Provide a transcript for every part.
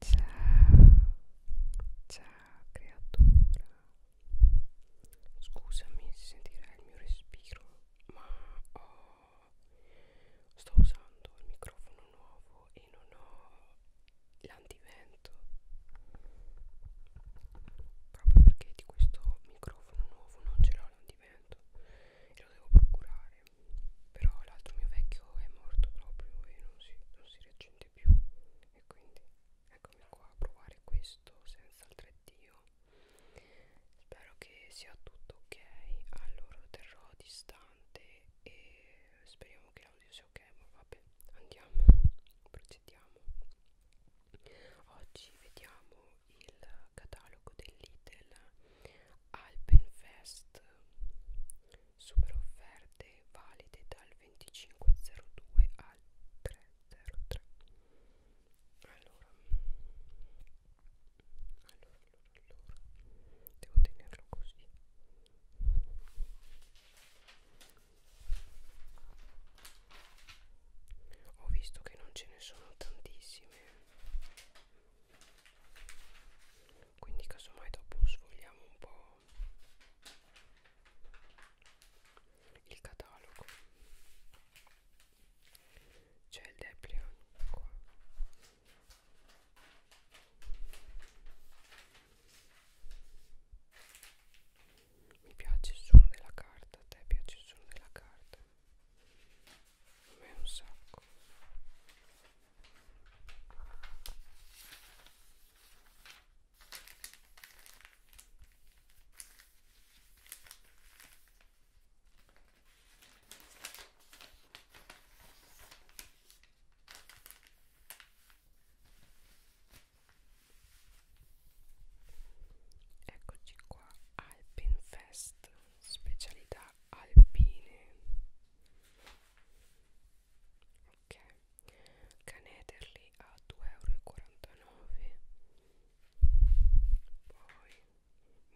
Ciao, ciao creatura. Scusami se sentirai il mio respiro, ma oh, sto usando il microfono nuovo e non ho l'antivento. Proprio perché di questo microfono nuovo non ce l'ho l'antivento e lo devo procurare però l'altro mio vecchio è morto proprio e non si, non si riaccende più e quindi eccomi qua a provare questo senza altre dio spero che sia tutto ok allora lo terrò distante e speriamo che l'audio sia ok ma vabbè andiamo procediamo oggi vediamo il catalogo dell'Itel Alpenfest super offerte valide dal 2502 al 303 allora allora allora allora devo tenerlo così ho visto che non ce ne sono tantissime quindi casomai dopo sfogliamo un po' il catalogo c'è il Deplion qua mi piace il suono della carta, a te piace il suono della carta a me un sacco Eccoci qua, Alpenfest, specialità alpine ok canederli a 2,49 euro poi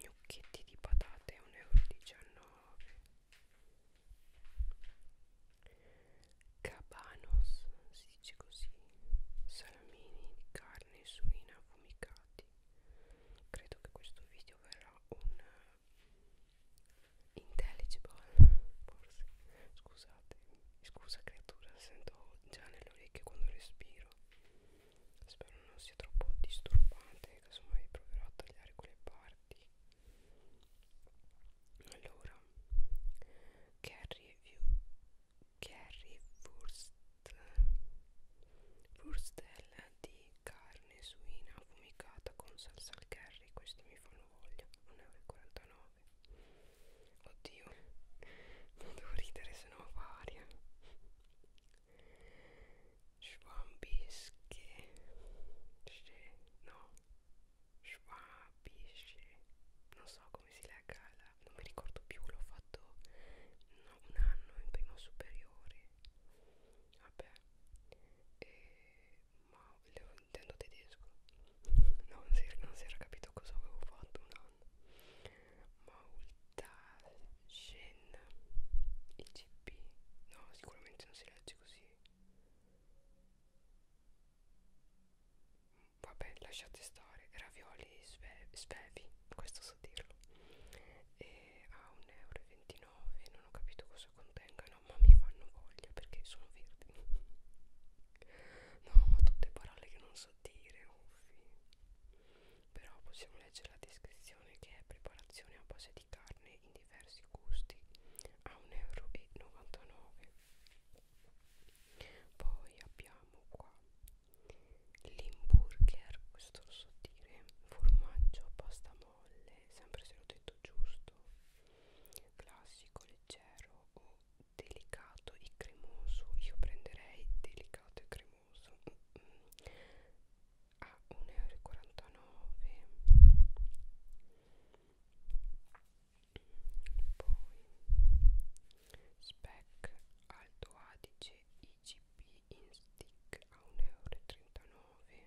gnocchetti di patate a 1,19 euro cabanos si dice così salamini di carne suina affumicati credo che questo video verrà un intelligible forse scusate scusa creatura sento già nelle orecchie quando respiro spero non sia troppo disturbante casomai proverò a tagliare quelle parti allora Carrie Carrie Wurst Wurstel di carne suina affumicata con salsa al curry questi mi fanno voglia 1,49 euro oddio non devo ridere se no varia schwambische no schwabische non so come si legga la, non mi ricordo più l'ho fatto no, un anno in prima superiore vabbè e ma lo intendo tedesco non si, non si era capito cosa avevo fatto un anno Maultaschen ICP no sicuramente non si legge così vabbè lasciate stare ravioli sve, svevi questo so dirlo e a 1,29 euro non ho capito cosa contenga no ma mi fanno voglia perché sono verdi no ma tutte parole che non so dire uffi però possiamo leggere la descrizione che è preparazione a base di carne in diversi gusti a 1,99 euro poi abbiamo qua l'hamburger questo lo so dire formaggio pasta molle sempre se l'ho detto giusto classico, leggero o delicato e cremoso io prenderei delicato e cremoso mm -mm. a ah, 1,49 euro poi spec alto adice IGP in stick a 1,39 euro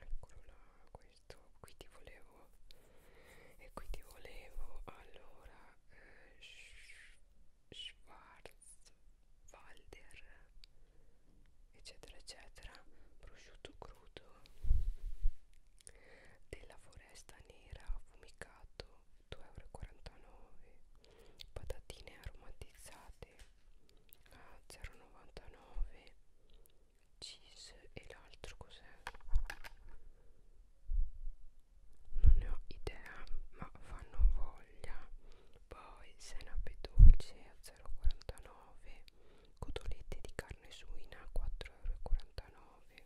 eccolo là questo qui ti volevo e qui ti volevo allora eh, Sch Schwarzwalder eccetera eccetera prosciutto crudo della foresta nera affumicato 2,49 euro patatine aromatizzate vende a 0,99 cheese e l'altro cos'è? non ne ho idea ma fanno voglia poi senape dolce a 0,49 cotolette di carne suina a 4,49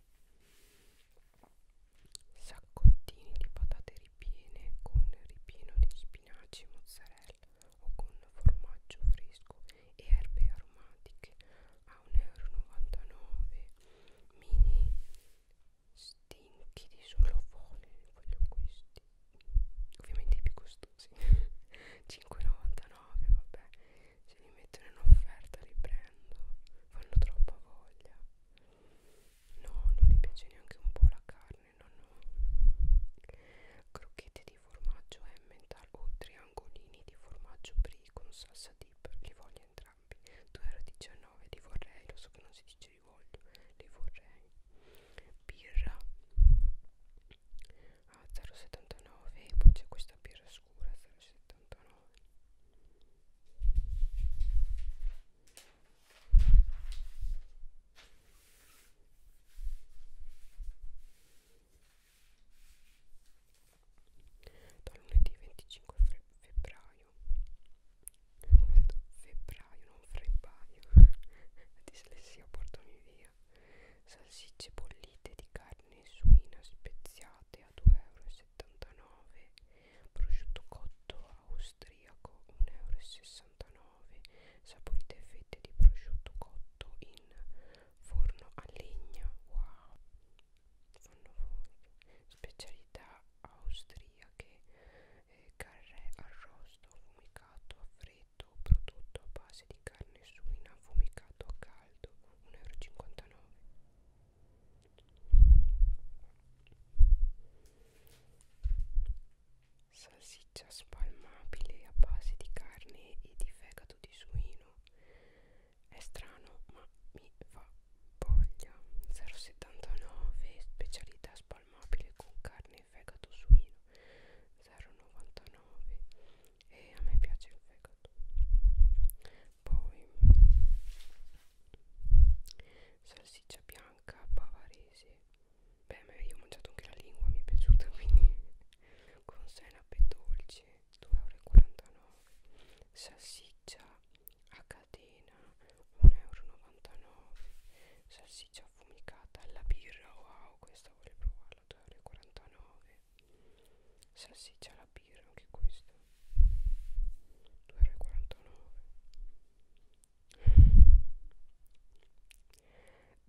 Saccottini di patate ripiene con ripieno di spinaci e mozzarella o con formaggio fresco e erbe aromatiche a 1,99 euro mini stinchi di solofone voglio questi ovviamente i più costosi 5,99 vabbè se li mettono in offerta li prendo fanno troppa voglia no non mi piace neanche un po' la carne carne non ho crocchette di formaggio emmental o triangolini di formaggio brie con salsa dip li voglio entrambi 2,19€ li vorrei lo so che non si dice li voglio li vorrei birra ah, a 0,79 poi c'è questa birra scura 0,79 da lunedì 25 febbraio febbraio non febbraio la dislessia portami via salsicce bollite di carne suina speziate a 2,79 euro prosciutto cotto austriaco 1,69 euro 99 saporite fette di prosciutto cotto in forno a legna wow fanno voglia specialità austriache eh, carré arrosto affumicato a freddo prodotto a base di carne suina affumicato a caldo 1,59 euro salsiccia spalmabile a base di carne e di fegato di suino è strano ma mi fa voglia 0,79 specialità spalmabile con carne e fegato suino 0,99 e a me piace il fegato poi salsiccia bianca bavarese beh ma io ho mangiato anche la lingua mi è piaciuta quindi con senape dolce 2,49 euro salsiccia a catena 1,99 euro salsiccia affumicata alla birra wow questa vorrei provarla 2,49 euro salsiccia alla birra anche questa 2,49 euro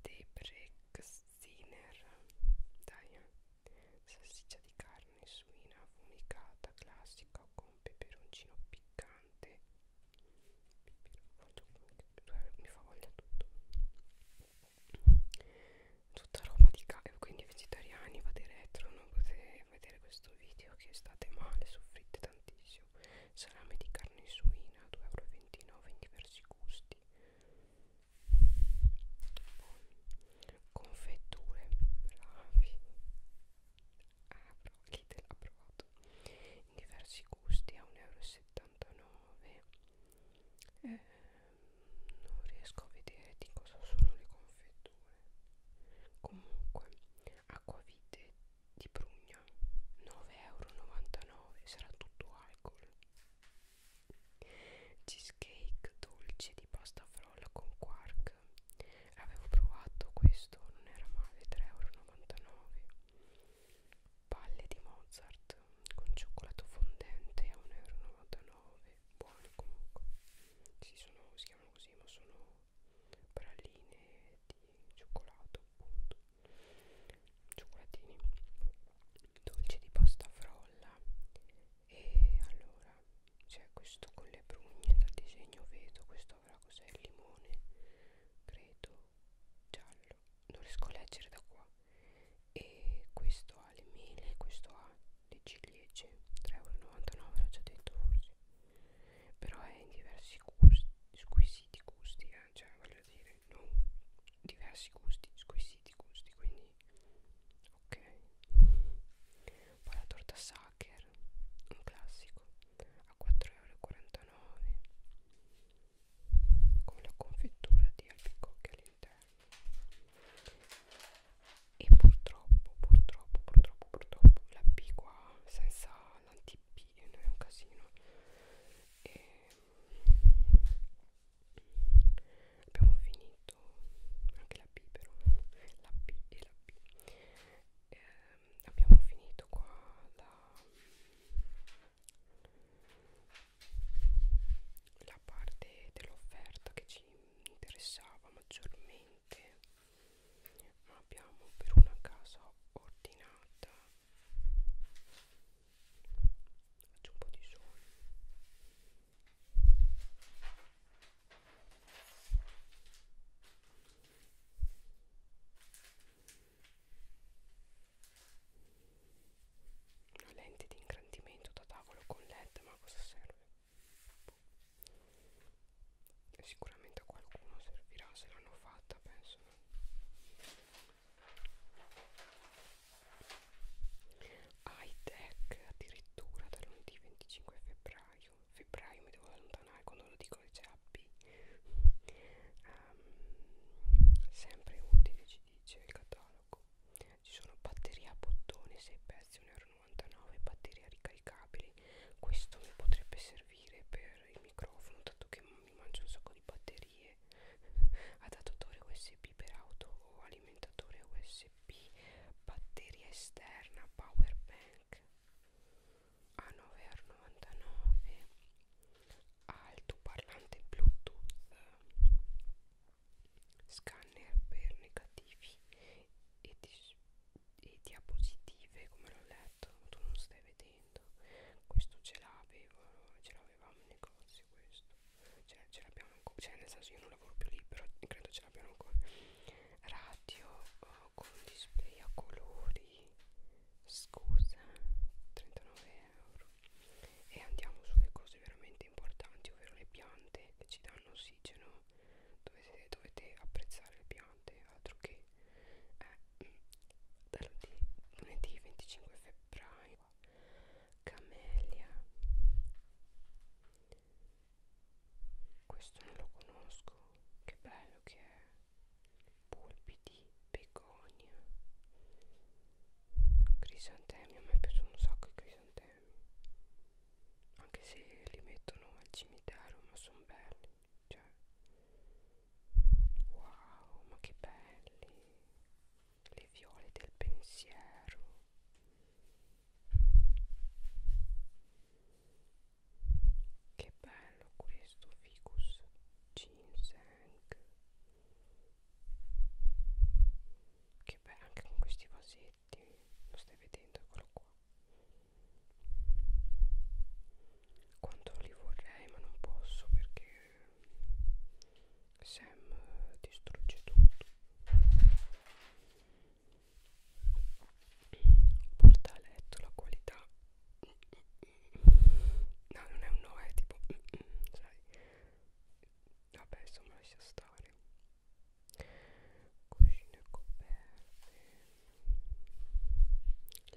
dei Brexiner dai eh. salsiccia di carne suina affumicata classica con peperoncino piccante eh, mi fa voglia tutto tutta roba di carne eh, quindi vegetariani vate retro non potete vedere questo video che state male soffrite tantissimo salame di carne carne suina 2,29 euro in diversi gusti poi confetture bravi ah, Lidl ha provato in diversi gusti a 1,79 euro eh, non riesco a vedere di cosa sono le confetture comunque acquavite di prugna 9,99 euro sarà tutto alcol cheesecake dolce di pasta frolla con quark avevo provato questo non era male 3,99 euro palle di mozart con cioccolato fondente a 1,99 euro buone comunque si, sono, si chiamano così ma sono praline di cioccolato appunto cioccolatini dolci di pasta frolla e allora c'è questo con le prugne dal disegno vedo questo avrà cos'è il limone credo giallo non riesco a leggere da qua e questo ha le mele questo ha le ciliegie 3,99 euro l'ho già detto forse però è in diversi gusti squisiti gusti eh? cioè voglio dire non diversi gusti squisiti gusti quindi ok poi la torta Sacher un classico a 4,49€ con la confettura di albicocche all'interno e purtroppo purtroppo purtroppo purtroppo la P qua senza l'anti P bambini è un casino e abbiamo finito anche la B però la B e la B eh, abbiamo finito qua la, la parte dell'offerta che ci interessava maggiormente ma abbiamo per una casa ordinata faccio un po' di sole una lente di ingrandimento da tavolo con led ma cosa serve sicuramente a qualcuno servirà se l'hanno fatta penso high tech addirittura dal lunedì 25 febbraio febbraio mi devo allontanare quando lo dico c'è AB um, sempre utile ci dice il catalogo ci sono batterie a bottone 6 pezzi 1,99 euro batterie ricaricabili questo mi potrebbe servire per il microfono dato che mi mangio un sacco di batterie adattatore usb per auto o alimentatore usb batteria esterna power bank a 9,99 altoparlante bluetooth eh, scanner per negativi e, di, e diapositive come l'ho letto tu non stai vedendo momento questo ce l'avevo ce l'avevamo in negozio questo cioè ce l'abbiamo ancora cioè nel senso io non lavoro più lì però credo ce l'abbiano ancora radio oh, con display a colori scusa 39 euro e andiamo sulle cose veramente importanti ovvero le piante che ci danno ossigeno dovete, dovete apprezzare le piante altro che eh, da lunedì 25 febbraio Camelia questo non lo conosco che bello che è pulpiti begonia crisantemi a me piacciono un sacco i crisantemi anche se li mettono al cimitero ma sono belli cioè wow ma che belli le viole del pensiero che bello questo ficus ginseng che bello anche con questi vasetti lo stai vedendo eccolo qua quanto li vorrei ma non posso perché Sam distrugge tutto porta a letto la qualità no non è un no è tipo sai vabbè insomma lascia stare cuscino e coperte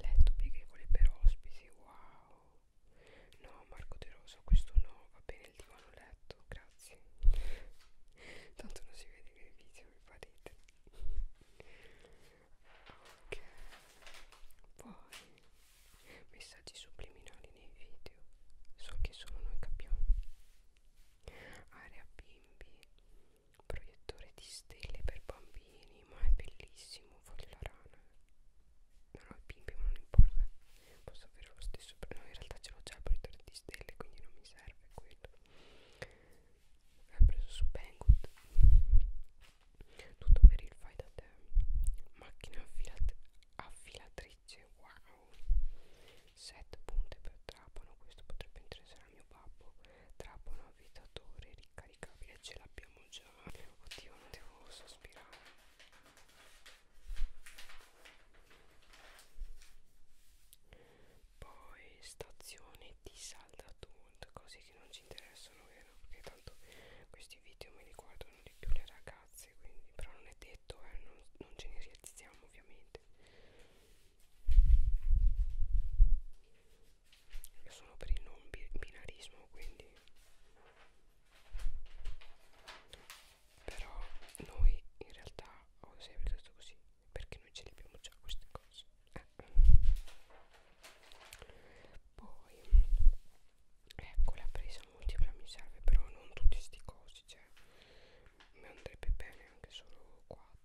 Letto pieghevole per ospiti, wow. No, Marco De Rosa, questo no, va bene il divano letto, grazie. Tanto non si vede nei video, mi farete. Ok. Poi messaggi subliminali nei video. So che solo noi capiamo. Area bimbi proiettore di stelle per bambini ma è bellissimo fuori la rana non ho i bimbi ma non importa posso avere lo stesso no in realtà ce l'ho già il proiettore di stelle quindi non mi serve quello l'ho preso su Banggood tutto per il fai da te macchina affilata affilatrice wow 7 punte per trapano questo potrebbe interessare a mio babbo trapano avvitatore ricarica caricabile ce l'abbiamo già oddio non devo sospirare poi stazione di saldatut cose che non ci interessano vero perché tanto questi video me li guardano di più le ragazze quindi però non è detto eh, non, non ce ne realizziamo ovviamente io sono per il non binarismo quindi però noi in realtà ho sempre detto così perché noi ce le abbiamo già queste cose eh. poi ecco la presa multipla mi serve però non tutti sti cosi cioè mi andrebbe bene anche solo 4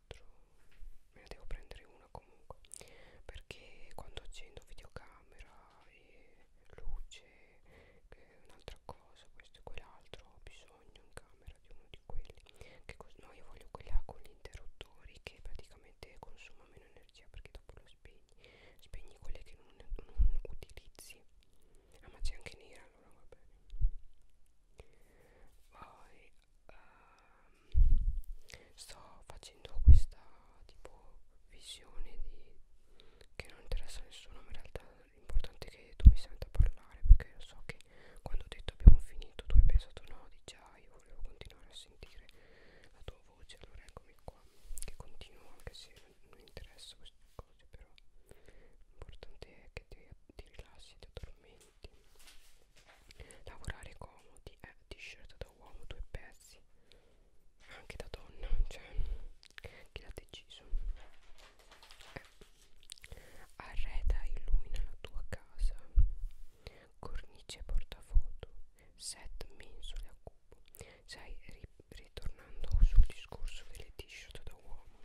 me ne devo prendere una comunque perché quando accendo videocamera e luce e un'altra cosa questo e quell'altro ho bisogno in camera di uno di quelli che no io voglio quella con gli interruttori che praticamente consuma meno energia perché dopo lo spegni spegni quelle che non, non utilizzi ah ma c'è anche nera allora va bene poi uh, sto facendo questa tipo visione di che non interessa a nessuno ma in realtà l'importante è che tu mi senta parlare perché io so che quando ho detto abbiamo finito tu hai pensato no di già io volevo continuare a sentire la tua voce allora eccomi qua che continuo anche se non mi interessa queste cose però l'importante è che ti, ti rilassi ti addormenti comodi lavorare comodi eh, t-shirt da uomo due pezzi anche da donna cioè chi l'ha deciso eh. arreda e illumina la tua casa cornice portafoto set mensole a cubo sai ri ritornando sul discorso delle t-shirt da uomo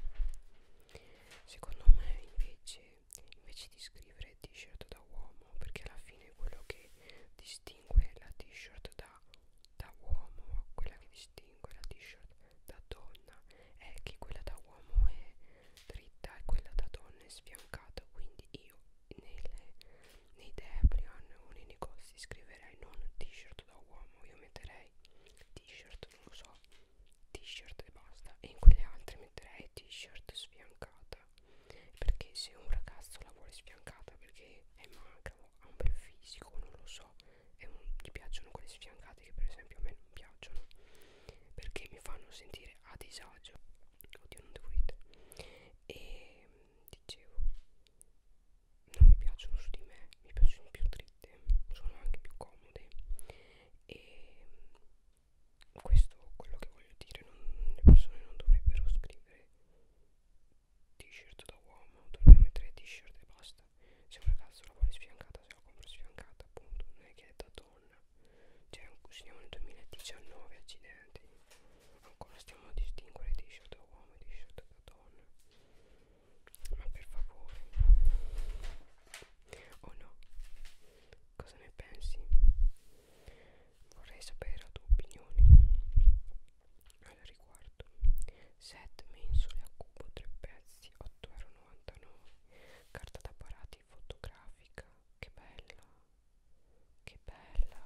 secondo me invece invece di scrivere t-shirt da uomo perché alla fine quello che distingue la t-shirt da, da uomo quella che distingue la t-shirt da donna è che quella da uomo è dritta e quella da donna è sfiancata quindi io nelle, nei Deplion o nei negozi scriverei non t-shirt da uomo io metterei t-shirt non lo so t-shirt e basta e in quelle altre metterei t-shirt sfiancata vera perché se un ragazzo la vuole sfiancata perché è magra o ha un bel fisico non lo so e un, gli piacciono quelle sfiancate che per esempio a me non piacciono perché mi fanno sentire a disagio oddio non devo ridere e dicevo non mi piacciono su di me mi piacciono più dritte sono anche più comode e questo quello che voglio dire non, le persone non dovrebbero scrivere t-shirt da uomo dovrebbero mettere t-shirt e basta se un ragazzo la vuole sfiancata se la compra sfiancata appunto non è che è da donna cioè siamo nel 2019 accidenti ancora stiamo a distinguere t-shirt da uomo e t-shirt da donna ma per favore o oh no cosa ne pensi Vorrei sapere la tua opinione al riguardo. Set mensole a cubo, 3 pezzi, 8,99€. Carta da parati fotografica, che bella! Che bella!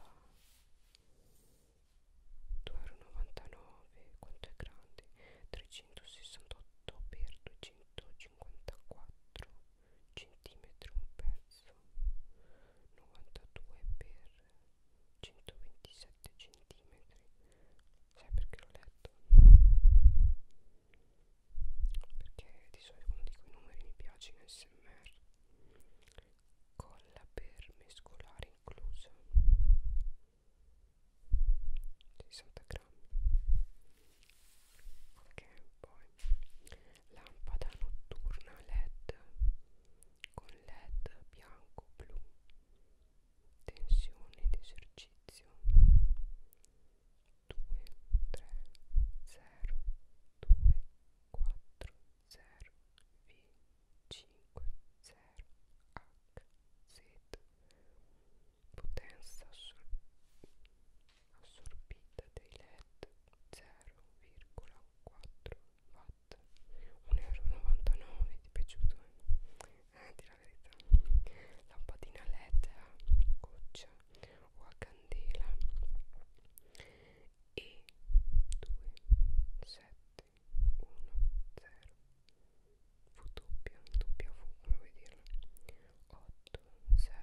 2,99€, quanto è grande? 368 per 254 centimetri un pezzo 92 per 127 centimetri sai perché l'ho letto? perché di solito quando dico i numeri mi piace in smr colla per mescolare inclusa 60 grammi ok poi lampada notturna led con led bianco blu tensione ed esercizio 2 3 0 2 4 0 v 5 0 h z potenza assoluta assorbita dai LED 0,4 watt 1,99 euro ti è piaciuto eh? eh di la verità lampadina LED a goccia o a candela e 2 7 1 0 w w come vuoi dirlo 8 0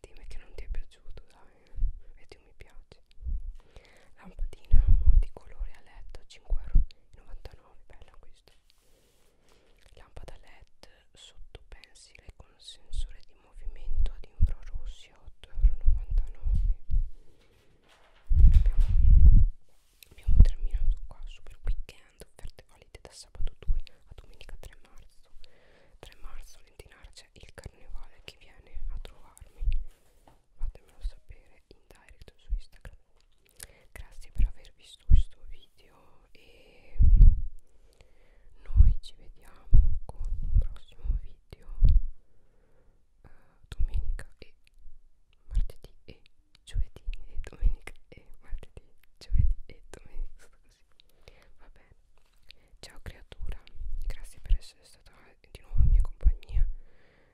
Dimmi che non ti è piaciuto, dai. Vedi un mi piace. Lampadina molti colori a letto, 5,99€, bella questa. Lampada LED sotto pensile con sensore di movimento ad infrarossi, 8,99€. Abbiamo, abbiamo terminato qua, super weekend, offerte valide da sabato 2 a domenica 3 marzo. 3 marzo Lentinara c'è il carnevale chi viene a trovarmi fatemelo sapere in direct su Instagram grazie per aver visto questo video e mm, noi ci vediamo con un prossimo video uh, domenica e martedì e giovedì e domenica e martedì giovedì e domenica così va bene Ciao creatura, grazie per essere stata di nuovo in mia compagnia.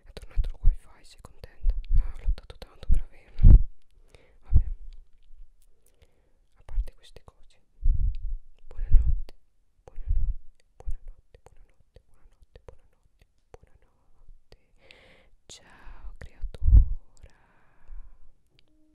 È tornato il wifi, sei contenta? Ah, ho lottato tanto per averlo. Vabbè, a parte queste cose, buonanotte, buonanotte, buonanotte, buonanotte, buonanotte, buonanotte, buonanotte. Ciao creatura.